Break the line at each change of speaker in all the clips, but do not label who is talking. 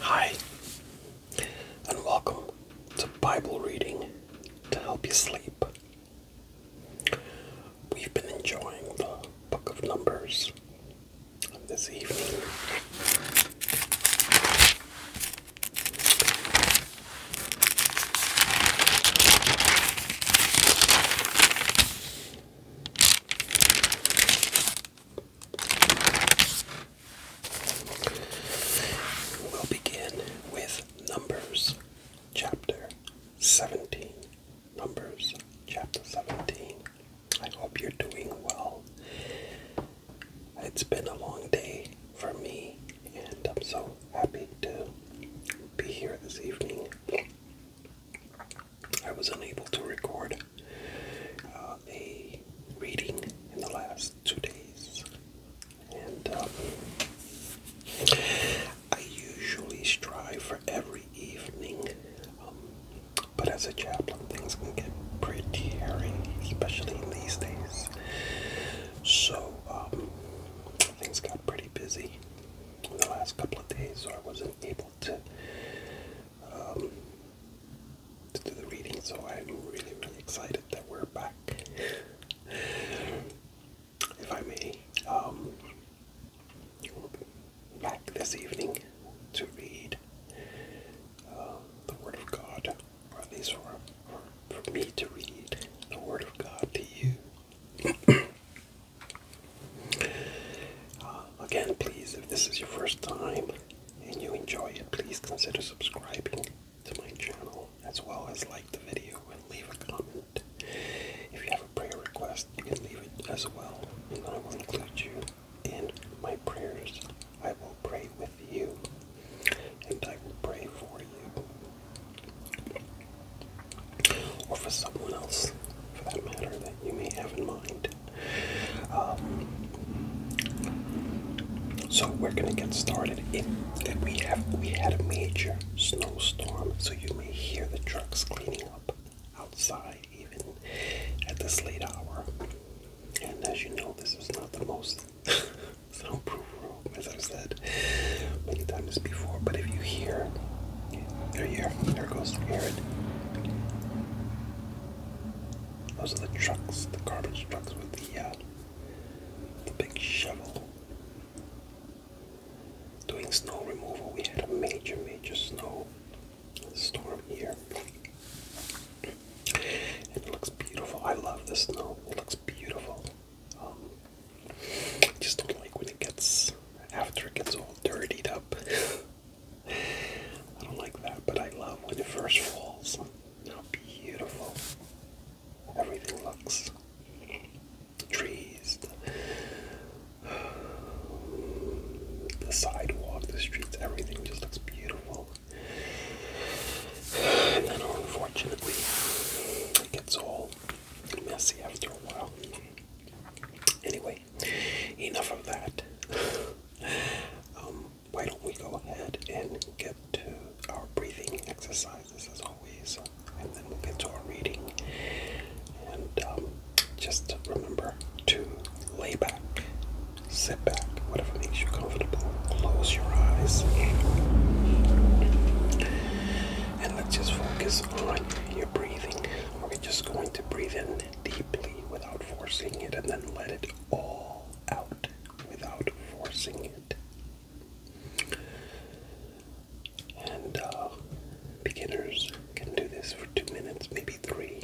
Hi, and welcome to Bible reading to help you sleep. We've been enjoying the Book of Numbers this evening. We'll begin with Numbers chapter 17. Numbers chapter 17. I hope you're doing well. It's been a long day for me, and I'm so happy to be here this evening. I was unable to record uh, a reading in the last two days. And um, I usually strive for every evening, um, but as a chaplain, things can get pretty hairy, especially in these days. So um, things got pretty busy in the last couple of days, so I wasn't able to. to do the reading, so I'm really, really excited that we're back if I may, um, back this evening to read uh, the Word of God, or at least for, for, me to read the Word of God to you. Uh, again, please, if this is your first time and you enjoy it, please consider subscribing to my channel as well as like the video and leave a comment. If you have a prayer request, you can leave it as well, and I will include you in my prayers. I will pray with you, and I will pray for you, or for someone else, for that matter, that you may have in mind. Um, so we're gonna get started. It, we have we had a major snow Storm, so you may hear the trucks cleaning up outside even at this late hour. And as you know, this is not the most soundproof room, as I've said many times before, but if you hear, there you hear, there goes, you Those are the trucks, the garbage trucks with the, uh, the big shovel doing snow removal. We had a major, major snow storm here. And it looks beautiful. I love the snow. It looks beautiful. I um, just don't like when it gets, after it gets all dirtied up. I don't like that, but I love when it first falls. How beautiful everything looks. The trees, the, sidewalk, the streets, everything just looks beautiful. And then, unfortunately, it gets all messy after a while. Anyway, enough of that. Um, why don't we go ahead and get to our breathing exercise? as always, uh, and then we'll get to our reading. And um, just remember to lay back, sit back, whatever makes you comfortable. Close your eyes, and let's just focus on your breathing. We're just going to breathe in deeply without forcing it, and then let it all out without forcing it. And uh, beginners can do this for two minutes, maybe three.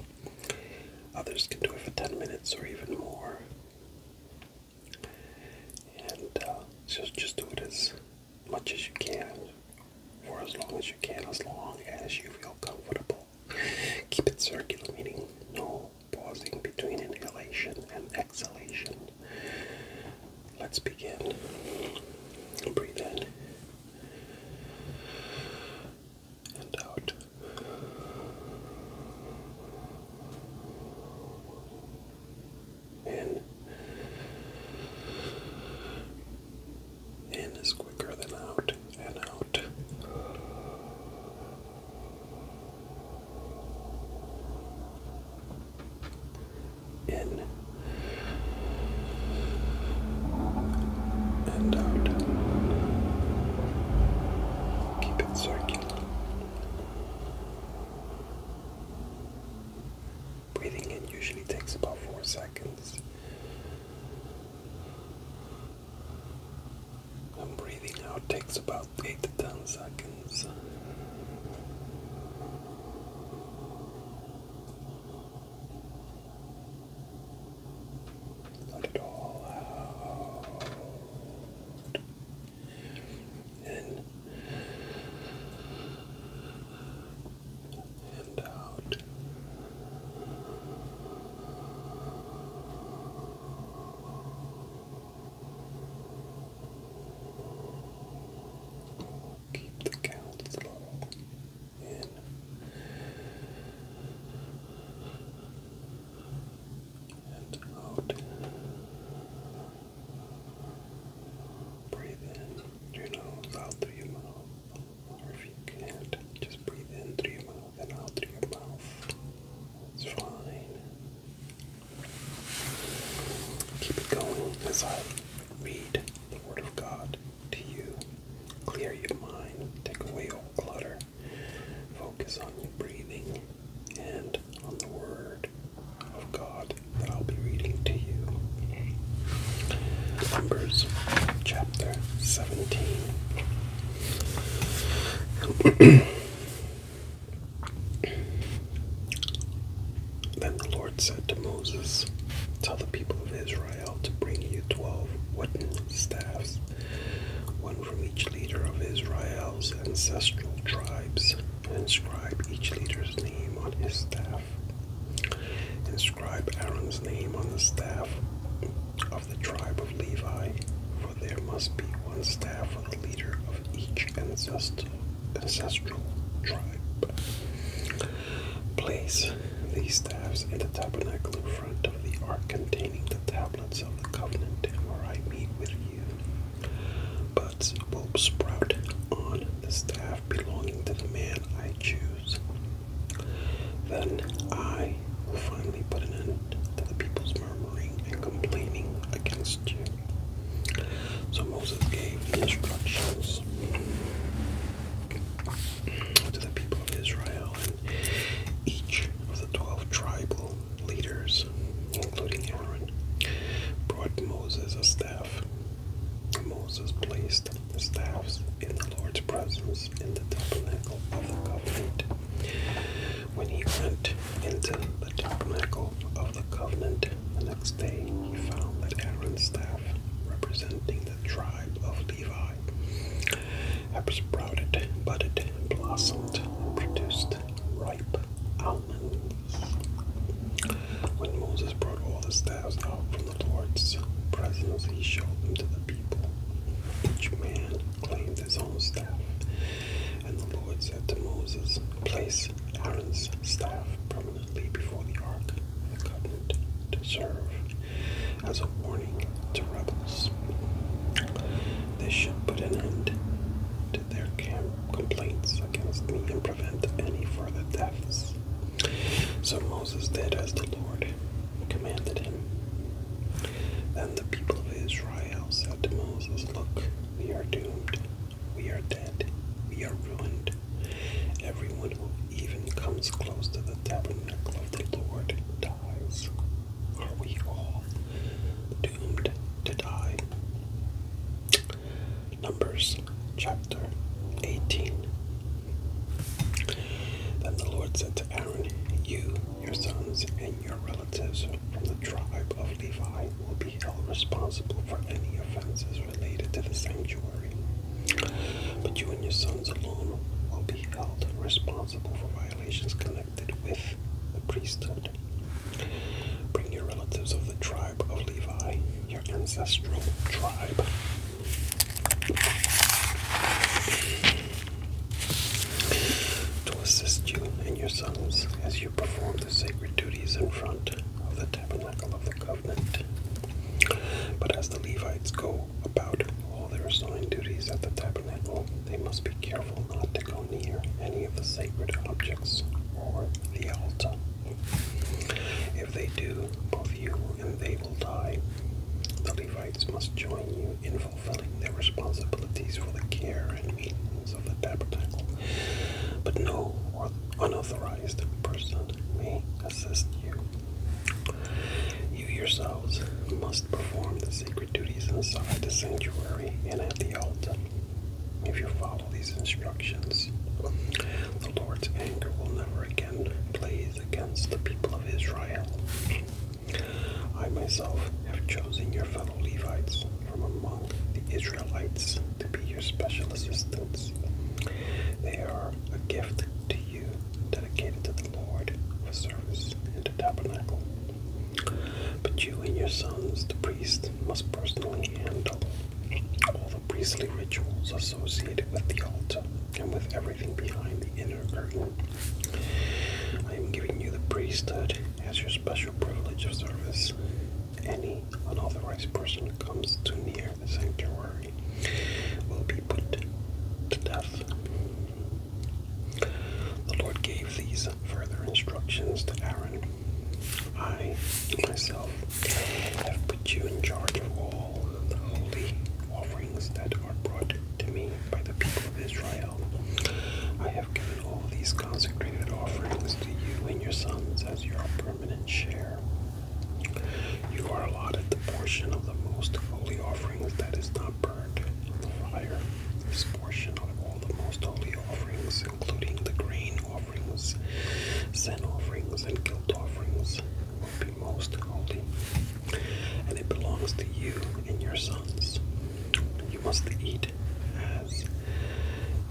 Others can do it for 10 minutes or even more. And uh, so just do it as much as you can for as long as you can, as long as you feel comfortable. Keep it circular, meaning no pausing between inhalation and exhalation. Let's begin. Breathe in and out. In. In is quicker than out and out in and out. Keep it circular. Breathing in usually takes about four seconds. breathing out takes about 8 to 10 seconds. Let it all out. In and out. Keep the count in. And out. Breathe in through your out through your mouth. Or if you can't, just breathe in through your mouth and out through your mouth. It's fine. Keep it going as I read the Word of God to you. Clear your mind, take away all clutter, focus on your breathing and on the Word of God that I'll be reading to you. Numbers chapter 17. Then the Lord said to Moses, Tell the people of Israel to bring you twelve wooden staffs, one from each leader of Israel's ancestral tribes, and inscribe each leader's name on his staff. Inscribe Aaron's name on the staff of the tribe of Levi, for there must be one staff for the leader of each ancestral ancestral tribe. Place these staves in the tabernacle front of the ark containing the tablets of the covenant, where I meet with you. But will sprout on the staff belonging to the man I choose. Then I will finally put an end to the people's murmuring and complaining against you. So Moses gave instructions to the people of Israel, and each of the twelve tribal leaders, including Aaron, brought Moses a staff. Moses placed the staffs in the Lord's presence in the tabernacle of the covenant. When he went into the tabernacle of the covenant, the next day, he found that Aaron's staff, representing the tribe of Levi, had sprouted, budded, blossomed, and produced ripe almonds. When Moses brought all the staffs out from the Lord's presence, he showed them to the people. Each man claimed his own staff, and the Lord said to Moses, Place Aaron's staff prominently before the Ark Covenant to serve as a warning to rebels. They should put an end to their complaints against me and prevent any further deaths. So Moses did as the Lord commanded him. Then the people of Israel said to Moses, Look, we are doomed. We are dead. We are ruined. Everyone who even comes close to the tabernacle of the Lord dies. Are we all doomed to die? Numbers chapter 18. Then the Lord said to Aaron, You, your sons, and your relatives from The tribe of Levi will be held responsible for any offenses related to the sanctuary. But you and your sons alone will be held responsible for violations connected with the priesthood. Bring your relatives of the tribe of Levi, your ancestral tribe. To assist you and your sons as as perform the sacred duties in front of the tabernacle of the covenant. But as the Levites go about all their assigned duties at the tabernacle, they must be careful not to go near any of the sacred objects or the altar. If they do, both you and they will die. The Levites must join you in fulfilling their responsibilities for the care and meanings of the tabernacle, but no unauthorized person may assist you. You yourselves must perform the sacred duties inside the sanctuary and at the altar. If you follow these instructions, the Lord's anger will never again blaze against the people of Israel. I myself have chosen your fellow Levites from among the Israelites to be your special assistants. They are a gift to you, dedicated to the Lord for service and the tabernacle. But you and your sons, the priest, must personally handle all the priestly rituals associated with the altar and with everything behind the inner curtain. I am giving you the priesthood as your special special privilege of service. Any unauthorized person who comes too near the sanctuary will be put to death. The Lord gave these further instructions to Aaron I myself have put you in charge of all the holy offerings that are brought to me by the people of Israel. I have given all these consecrated offerings to you and your sons as your permanent share. You are allotted the portion of the most holy offerings that is not burned in the fire. This portion of all the most holy offerings, including the grain offerings, sin offerings, and guilt offerings, will be most holy, and it belongs to you and your sons. You must eat as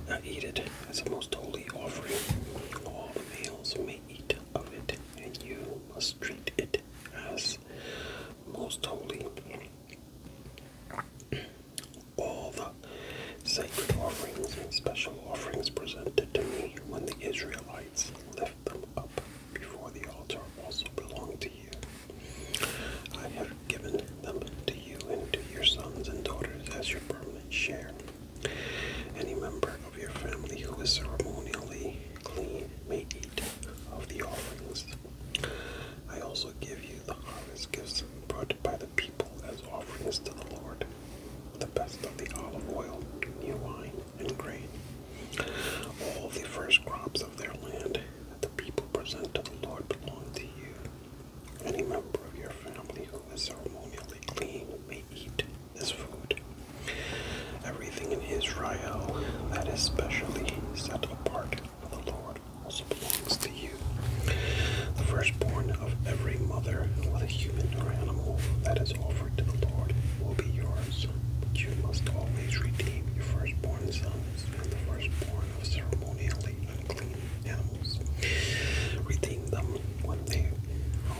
I eat it as a most holy offering. All the males may eat of it, and you must treat it as most holy. All the sacred offerings and special offerings presented to me when the Israelites lift them up before the altar also belong to you. I have given them to you and to your sons and daughters as your permanent share. Any member of your family who is ceremonially clean may eat of the offerings. I also give you the harvest gifts brought by the people as offerings to the Lord, the best of the olive oil, new wine, and grain, all the first crops of their land that the people present to the Lord belong to you. Any member of your family who is ceremonially clean may eat this food. Everything in Israel that is specially set apart for the Lord also belongs to you. The firstborn of every mother whether human or animal that is offered to the Lord will be yours. But you must always redeem your firstborn sons and the firstborn of ceremonially animals, redeem them when they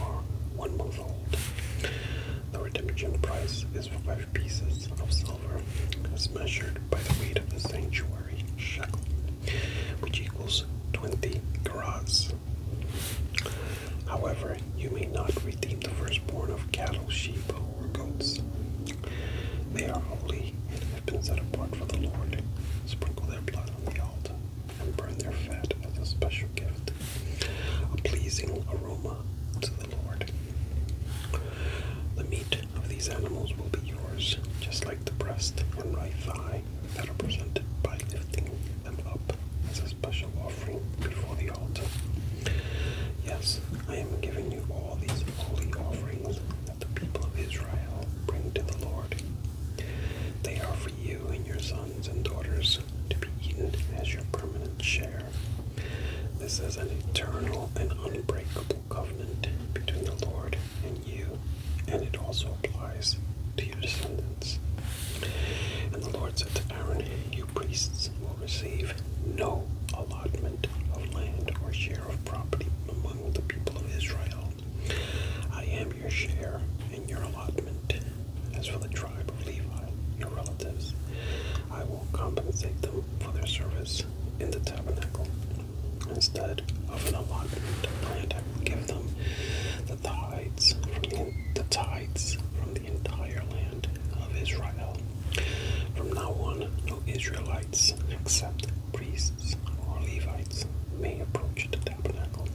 are one month old. The redemption price is five pieces of silver, as measured by the weight of the sanctuary shekel, which equals 20 carats. However, you may not redeem the firstborn of cattle, sheep, or goats. They are holy and have been set apart for the Lord. Sprinkle their blood on the altar and burn their fat as a special gift, a pleasing aroma to the Lord. The meat of these animals will be yours, just like the breast and right thigh that are presented by lifting them up as a special offering before the altar. Yes, I am giving you all these holy offerings the people of Israel bring to the Lord. They are for you and your sons and daughters to be eaten as your permanent share. This is an eternal and unbreakable covenant between the Lord and you, and it also applies to your descendants. And the Lord said to Aaron, You priests will receive no allotment of land or share of property among the people of Israel. I am your share and your allotment. As for the tribe of Levi, your relatives, I will compensate them for their service in the tabernacle. Instead of an allotment grant, I will give them the tithes from the tithes from the entire land of Israel. From now on, no Israelites, except priests or Levites, may approach the tabernacle.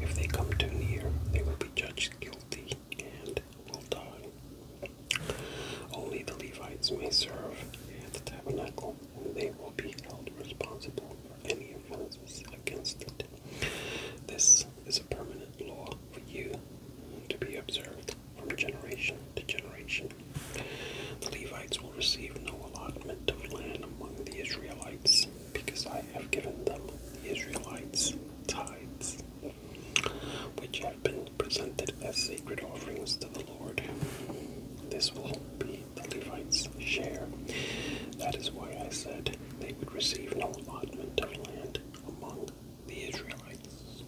If they come too near, they will be judged guilty and will die. Only the Levites may serve at the tabernacle, and they will be held responsible for any offenses against it. This is a permanent law for you to be observed from generation to generation. The Levites will receive no allotment of land among the Israelites, because I have given them the Israelites tithes, which have been presented as sacred offerings to the Lord. This will be the Levites' share. That is why I said they would receive no allotment of land among the Israelites.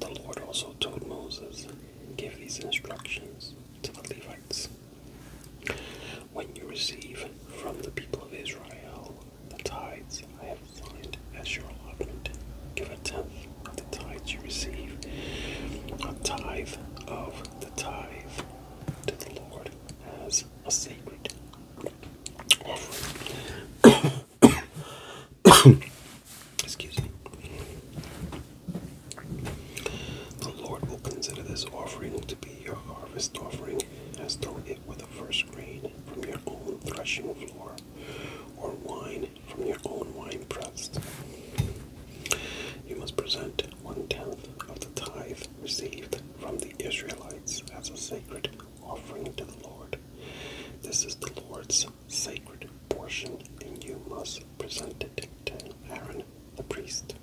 The Lord also told Moses, Give these instructions to the Levites. When you receive from the people of Israel the tithes I have assigned as your allotment, give a tenth of the tithes you receive, a tithe of the tithe to the Lord as a sacred offering. Excuse me. The Lord will consider this offering to be your harvest offering, as though it were the first grain from your own threshing floor, or wine from your own wine press. You must present one tenth of the tithe received from the Israelites as a sacred offering to the Lord. This is the Lord's sacred portion, and you must present it to Aaron the priest.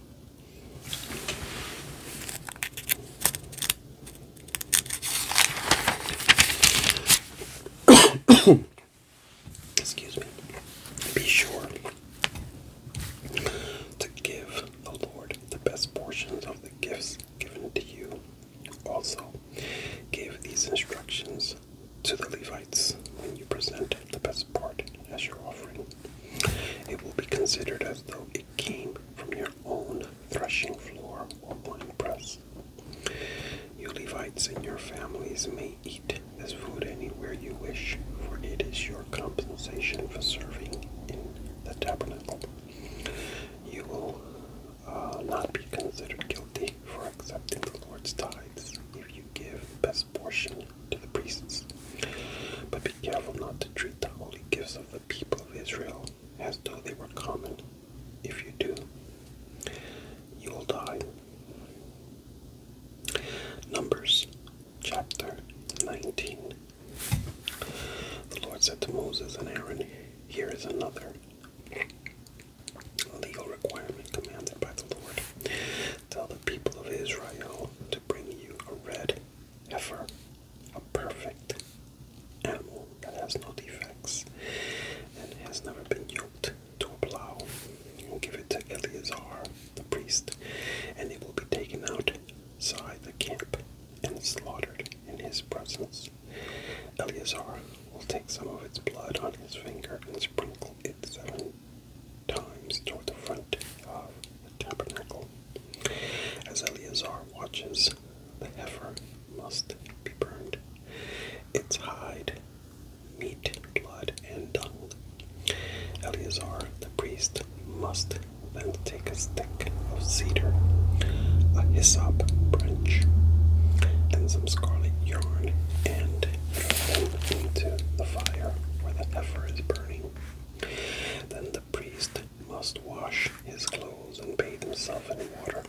Excuse me. Be sure to give the Lord the best portions of the gifts given to you. Also, give these instructions to the Levites when you present the best part as your offering. It will be considered as though it came from your own threshing floor or press. You Levites and your families may eat this food anywhere you wish, for it is your compensation for serving in the tabernacle. You will uh, not be considered guilty for Accepting the Lord's tithes, if you give the best portion to the priests. But be careful not to treat the holy gifts of the people of Israel as though they were common. If you do, you will die. Numbers chapter 19. The Lord said to Moses and Aaron, Here is another legal requirement commanded by the Lord. Tell the people of Israel to bring you a red heifer, a perfect animal that has no defects and has never been yoked to a plow. give it to Eleazar, the priest, and it will be taken out, outside the camp and slaughtered in his presence. Eleazar will take some of its blood on his finger and sprinkle it seven times toward the front of the tabernacle. As Eleazar watches, the heifer must be burned, its hide, meat, blood, and dung. Eleazar the priest must then take a stick of cedar, a hyssop branch, and some scarlet yarn and throw into the fire where the heifer is burning. Then the priest must wash his clothes and bathe himself in water.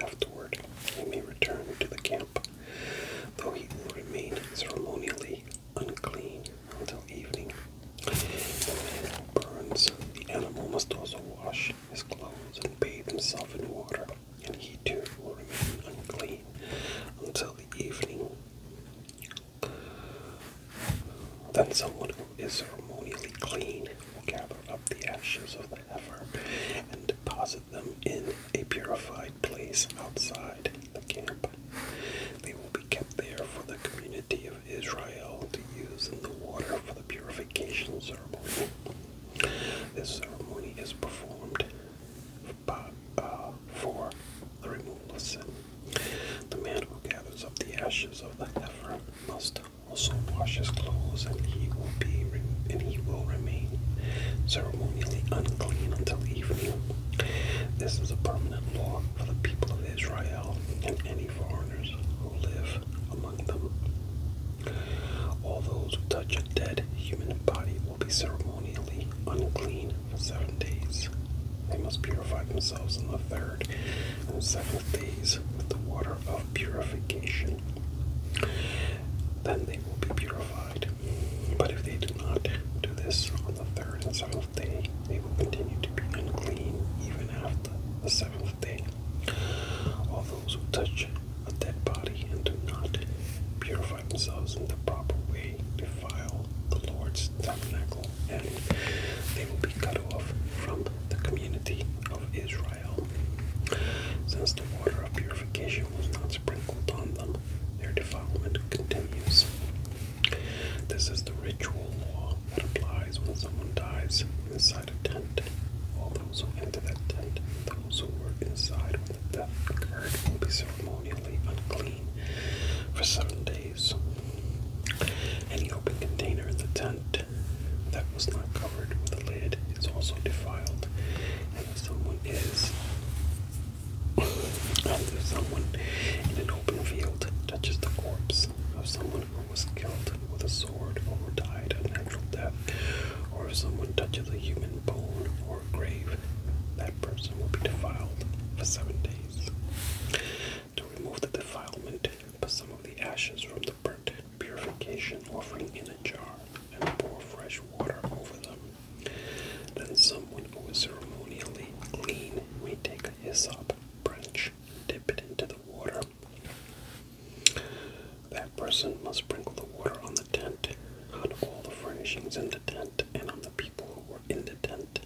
Afterward, he may return to the camp, though he will remain ceremonially unclean until evening. The man burns the animal must also wash his clothes and bathe himself in water and he too will remain unclean until the evening. Then someone who is ceremonially clean will gather up the ashes of the heifer and deposit them in a purified place outside the camp. They will be kept there for the community of Israel to use in the water for the purification ceremony. This ceremony is performed by, uh, for the removal of sin. The man who gathers up the ashes of the heifer must also wash his clothes, and he will be and he will remain ceremonially unclean until evening. This is a permanent law for the people of Israel and any foreigners who live among them. All those who touch a dead human body will be ceremonially unclean for seven days. They must purify themselves on the third and seventh days with the water of purification. Then they will be purified. But if they do not do this on the third and seventh day, they will continue to be unclean even after the seventh all those who touch a dead body and do not purify themselves in the proper way defile the Lord's tabernacle, and they will be cut off from the community of Israel. Since the water of purification was not sprinkled on them, their defilement continues. This is the ritual law that applies when someone dies in inside a tent. All those who enter that tent those who were inside when the death occurred will be ceremonially unclean for seven days. Any open container in the tent that was not covered with a lid is also defiled. And if someone is and if someone in an open field touches the corpse of someone who was killed with a sword or died a natural death, or if someone touches a human bone or grave, that person will be defiled for seven days. To remove the defilement, put some of the ashes from the burnt purification offering in a jar and pour fresh water over them. Then someone who is ceremonially clean may take a hyssop branch, dip it into the water, that person must sprinkle the water on the tent, on all the furnishings in the tent, and on the people who were in the tent.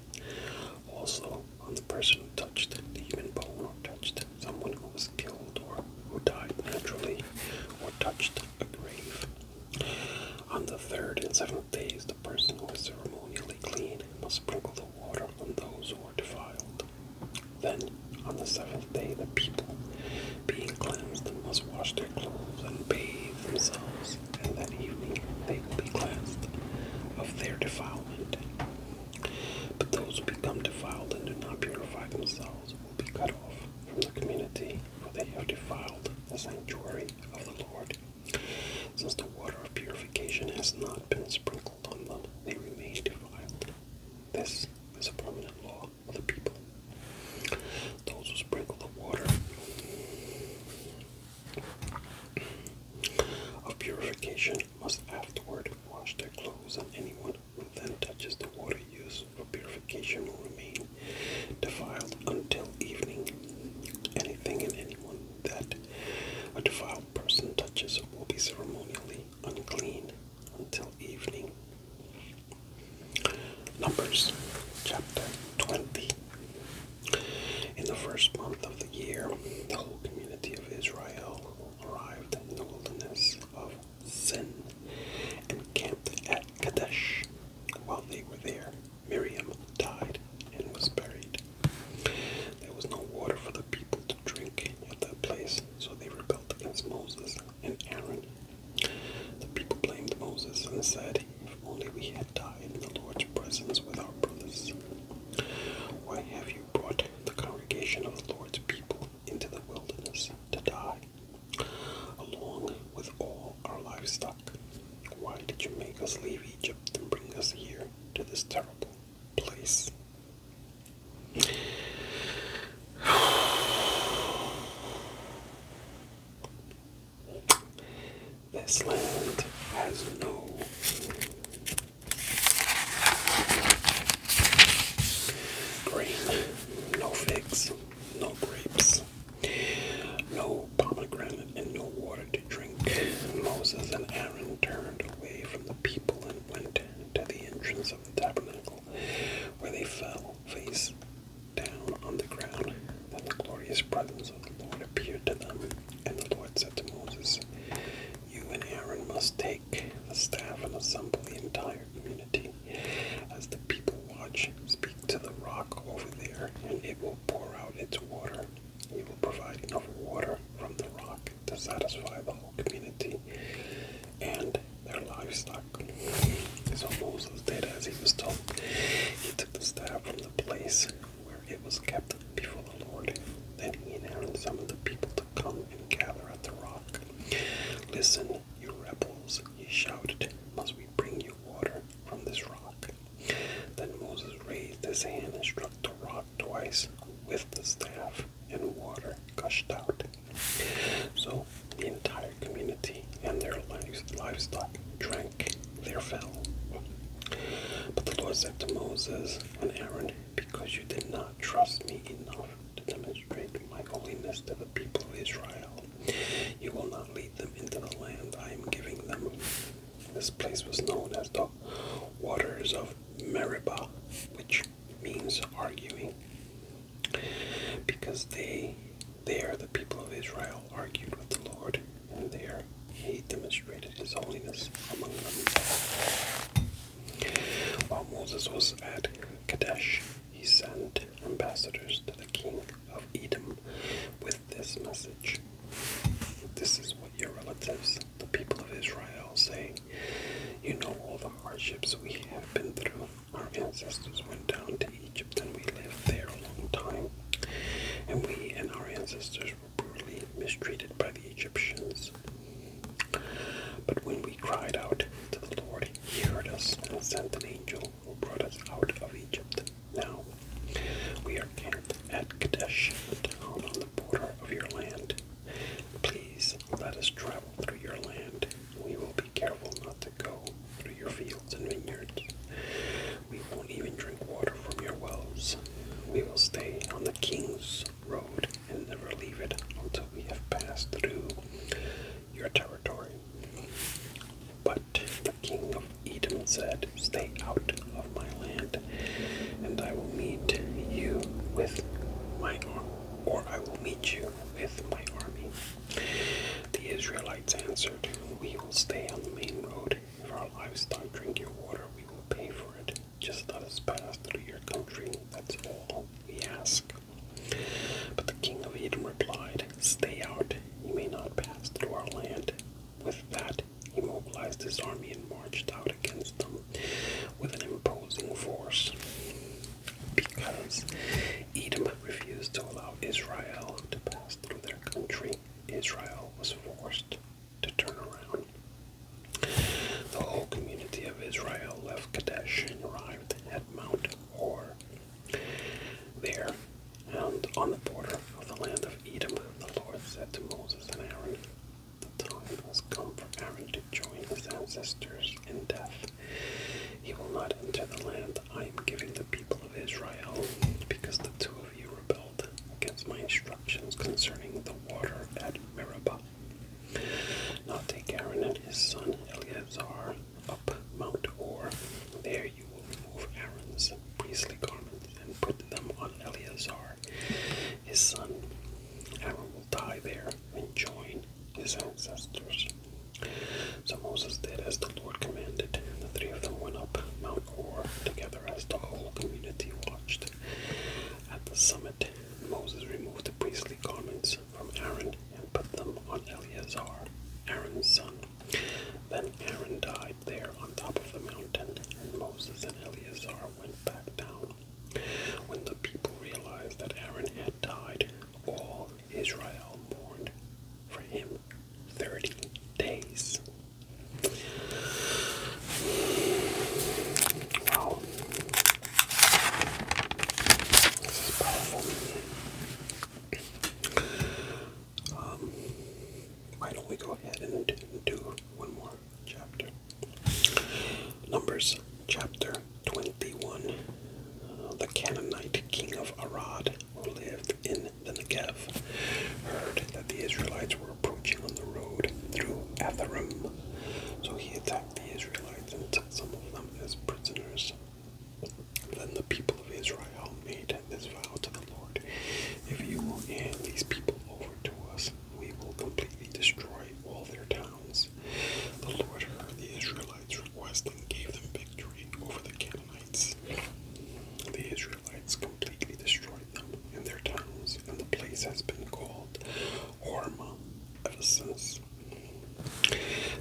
Also, on the person who touched the human bone or touched someone who was killed or who died naturally or touched a grave. On the third and seventh days, the person who is ceremonially clean must sprinkle the water on those who are defiled. Then, on the seventh day, the people, being cleansed, must wash their clothes and bathe themselves, and that evening they will be cleansed of their defilement. But those who become defiled and do not purify themselves will be cut off from the community, for they have defiled the sanctuary of the Lord. Since the water of purification has not been sprinkled on them, they remain defiled. This as a permanent law of the people. Those who sprinkle the water of purification must afterward wash their clothes, and anyone who then touches the water used for purification will remain defiled until evening. Anything and anyone that a defiled person touches will be ceremonially unclean until evening. Numbers chapter 20. In the first month of the year, the whole community of Israel arrived in the wilderness of Sin and camped at Kadesh. While they were there, Miriam died and was buried. There was no water for the people to drink at that place, so they rebelled against Moses and Aaron. The people blamed Moses and said, If only we had died in the Lord's presence with our brothers. Why have you brought the congregation of the Lord's people into the wilderness to die, along with all our livestock? Why did you make us leave Egypt and bring us here to this terrible place? This land has no green, no figs, no grapes, no pomegranate, and no water to drink. Moses and Aaron turned away from the people and went to the entrance of the tabernacle where they fell face down on the ground. Then the glorious presence of the Lord appeared to them, and the Lord said to Moses, You and Aaron must take the staff and assemble the entire community. As the people watch, speak to the rock over there, and it will pour out its water. You will provide enough water from the rock to satisfy the whole community and their livestock. So Moses did as he was told. He took the staff from the place where it was kept before the Lord. Then he announced some of the people to come and gather at the rock. Listen, you rebels, he shouted, must we bring you water from this rock? Then Moses raised his hand and struck the rock twice with the staff and water gushed out. So the entire community and their livestock drank their fill. But the Lord said to Moses and Aaron, Because you did not trust me enough to demonstrate my holiness to the people of Israel, you will not lead them into the land I am giving them. This place was known as the waters of Meribah, which means arguing, because they they are the people of Israel argued with the Lord, and there he demonstrated his holiness among them. While Moses was at Kadesh, he sent ambassadors to the king of Edom with this message. This is what your relatives the people of Israel, saying, You know all the hardships we have been through. Our ancestors went down to Egypt and we lived there a long time. And we and our ancestors were brutally mistreated by the Egyptians. But when we cried out to the Lord, He heard us and sent an angel who brought us out of Egypt. Now we are camped at Kadesh, a town on the border of your land. Please let us travel through your land. We will be careful not to go through your fields and vineyards. We won't even drink water from your wells. We will stay on the king's road and never leave it until we have passed through your territory. But the king of Eden said, Stay out of my land, and I will meet you with my arm or I will meet you with my army. The Israelites answered, We will stay on the main road. If our livestock drink your water, we will pay for it. Just let us pass through your country. That's all we ask. But the king of Edom replied, Stay out. You may not pass through our land. With that, he mobilized his army and marched out against them with an imposing force because Edom refused to allow Israel to pass through their country. Israel was forced to turn around. The whole community of Israel left Kadesh and arrived at Mount Hor. There, and on the border of the land of Edom, the Lord said to Moses and Aaron, the time has come for Aaron to join his ancestors in death. He will not enter the land I am giving the people of Israel, because the two of you rebelled against my instructions concerning the water at Meribah. Now take Aaron and his son Eleazar up Mount Or. There you will remove Aaron's priestly garments and put them on Eleazar his son. Aaron will die there and join his ancestors. So Moses did as the Lord commanded. and The three of them went up Mount Hor together as the whole community watched. At the summit, Moses removed the priestly garments from Aaron and put them on Eleazar, Aaron's son. Then Aaron died there on top of the mountain, and Moses and Eleazar went back down. When the people realized that Aaron had died, all Israel mourned for him 30 days. Wow. This is powerful. Um, why don't we go ahead and do one more chapter? Numbers chapter 21. the Canaanite king of Arad, who lived in the Negev, heard that the Israelites were approaching on the road through Atharim. So he attacked the Israelites and took some of them as prisoners. Then the people of Israel made this vow to the Lord If you will hand these people over to us, we will completely destroy all their towns the Lord heard the Israelites' request and gave them victory over the Canaanites. The Israelites completely destroyed them and their towns, and the place has been called Hormah ever since.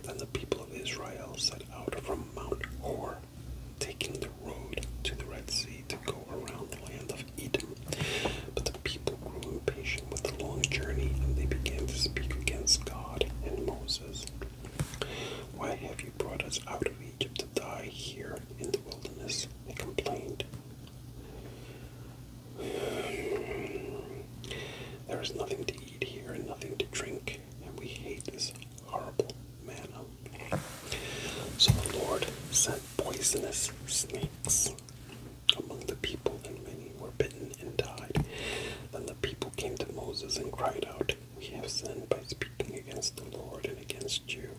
Then the people of Israel set out from Mount Hor, taking the road to the Red Sea to go around the land of of But the people grew impatient with the long journey, and they began to speak against God and Moses. Why have you brought us out of Egypt to die here in the wilderness? They complained. There is nothing to eat here and nothing to drink, and we hate this horrible manna. So the Lord sent poisonous snakes among the people, and many were bitten and died. Then the people came to Moses and cried out, We have sinned by speaking against the Lord and against you.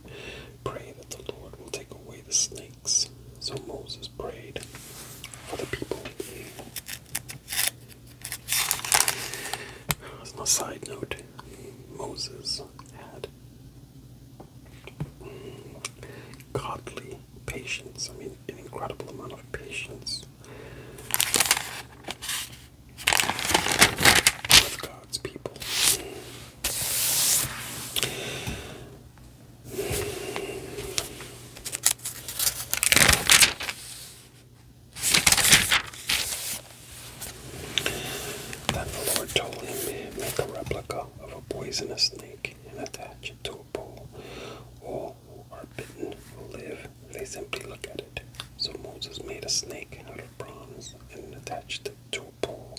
Pray that the Lord will take away the snakes. So Moses prayed for the people. As a side note, Moses had godly patience. I mean, an incredible amount of patience God's people. Then the Lord told him, Make a replica of a poisonous snake stick and attach it to a pole. All who are bitten will live if they simply look at it. So Moses made a snake out of bronze and attached it to a pole.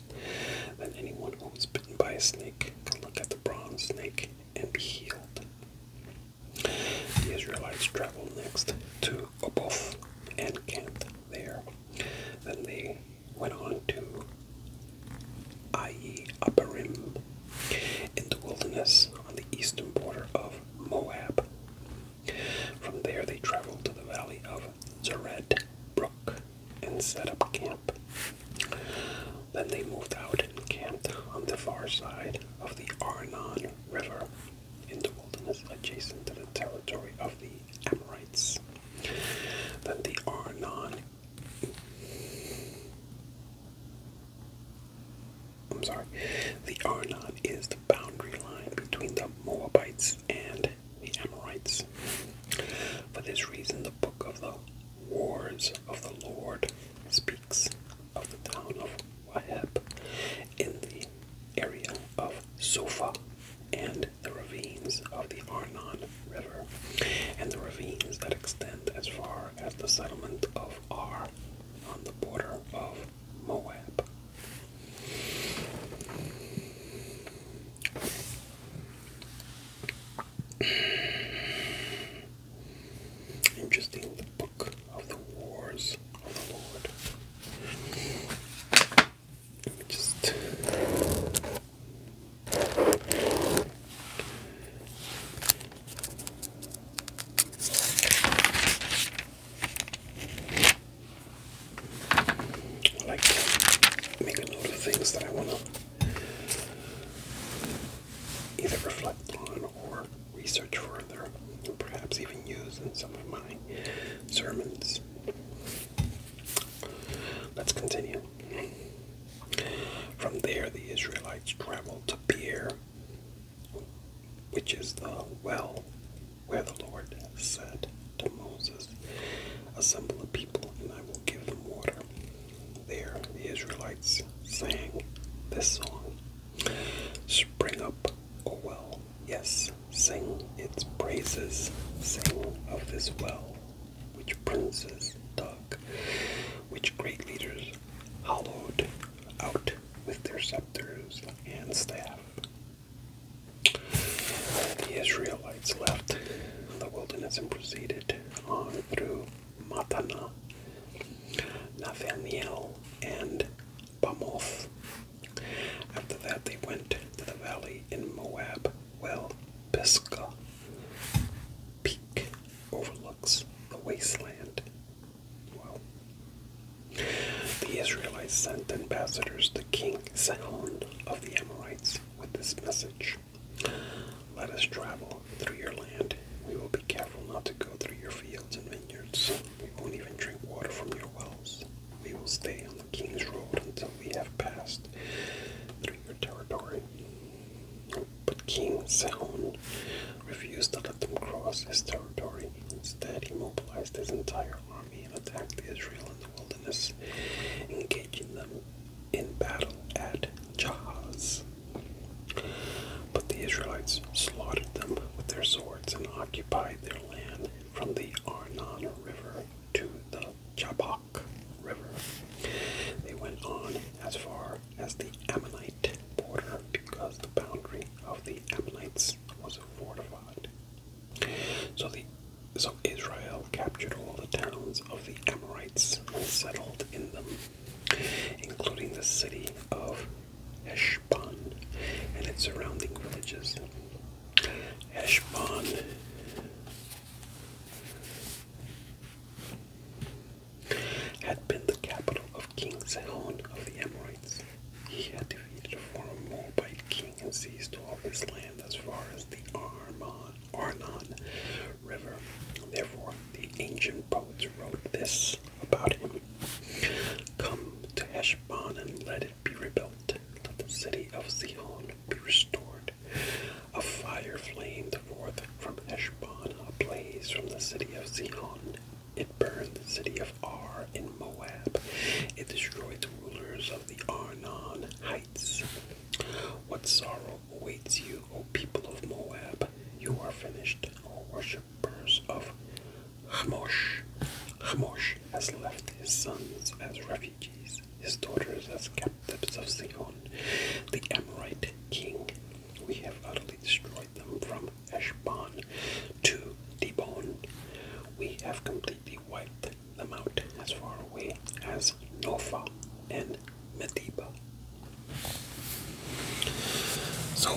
Then anyone who was bitten by a snake can look at the bronze snake and be healed. The Israelites traveled next to Oboth and camped there. Then they went on to Ai Upperim in the wilderness on the eastern border of Moab. From there they traveled to the valley of Zered Brook and set up camp. Then they moved out and camped on the far side of the Arnon River in the wilderness adjacent to the territory of the Amorites. Then the Arnon I'm sorry. The Arnon is the boundary line between the Moabites and the Amorites. For this reason, the book of the Wars of the Lord speaks of the town of Waheb in the area of Sofa and the ravines of the Arnon River and the ravines that extend as far as the settlement of Ar on the border of Moab. Interesting, the book of the wars of the Lord. just like to make of things that I want to either reflect on or research further, perhaps even use in some of my sermons. Let's continue. From there, the Israelites traveled to Beer, which is the well where the Lord said to Moses, Assemble the people, and I will give them water. There, the Israelites sang this song Spring up, O well, yes, sing its praises, sing of this well, which princes dug, which great leaders hollowed out with their scepters and staff. The Israelites left the wilderness and proceeded on through Matana, Nathaniel, and Bamoth. After that, they went to the valley in Moab, well, Pisgah, peak overlooks the wasteland. the Israelites sent ambassadors to King Sihon of the Amorites with this message Let us travel through your land. We will be careful not to go through your fields and vineyards. We won't even drink water from your wells. We will stay on the king's road until we have passed your territory. But King Sound refused to let them cross his territory. Instead, he mobilized his entire army and attacked the Israel in the wilderness, engaging them in battle at Jahaz. But the Israelites slaughtered them with their swords and occupied their land from the Arnon River to the Jabal. River. They went on as far as the Ammonite border because the boundary of the Ammonites was fortified. So the so Israel captured all the towns of the Ammonites and settled in them, including the city of Eshbon and its surrounding villages. Eshbon had been the capital of King Sihon of the Amorites. He had defeated a former Moabite king and seized all his land as far as the Arnon, River. Therefore, the ancient poets wrote this about him. Come to Eshban and let it be rebuilt. Let the city of Sihon be restored. A fire flamed forth from Heshbon, a blaze from the city of Sihon. It burned the city of Ar in Moab. It destroyed the rulers of the Arnon heights. What sorrow awaits you, O people of Moab? You are finished, O worshippers of Hamosh. Hamosh has left his sons as refuge refugees, his daughters as captives of Sihon, the Amorite king. We have utterly destroyed them from Heshbon to Dibon. We have completely wiped them out as far away as Nophah and Medeba. So,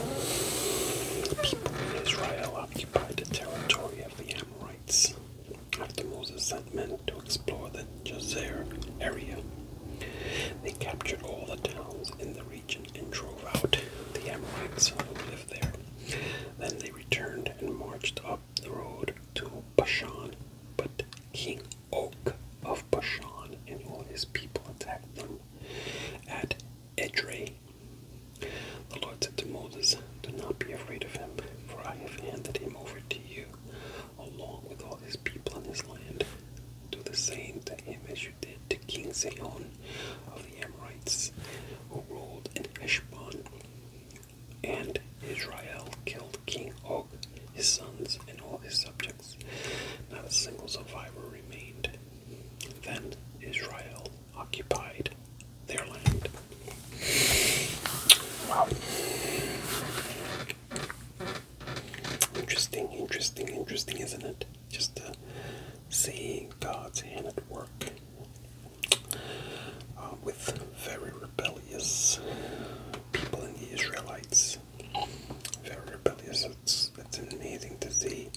the people of Israel occupied the territory of the Amorites after Moses sent men to explore the Jazer area. They captured all the towns in the region and drove out the Amorites who lived there. Then they returned and marched up the road to Bashan, but King Og of Bashan and all his people attacked them at Edrei. The Lord said to Moses, Do not be afraid of him, for I have handed him over to you along with all his people in his land. Do the same to him as you did to King Sihon of the Amorites, who ruled in Heshbon. And Israel killed King Og, his sons, and all his subjects. Not a single survivor remained. Then Israel occupied their land. Interesting, interesting, interesting, isn't it? Just seeing God's hand at work uh, with very rebellious people in the Israelites. Very rebellious. It's, it's amazing to see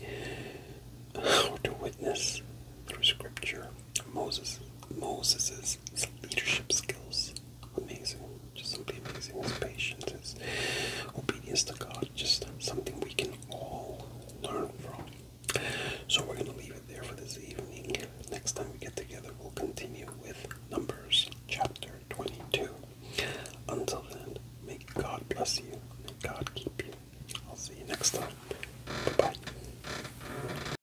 or to witness through Scripture Moses Moses's his, leadership skills, amazing, just something amazing. His patience, his obedience to God, just something we can all learn from. So we're going to leave it there for this evening. Next time we get together, we'll continue with Numbers chapter 22. Until then, may God bless you, may God keep you. I'll see you next time. Bye bye.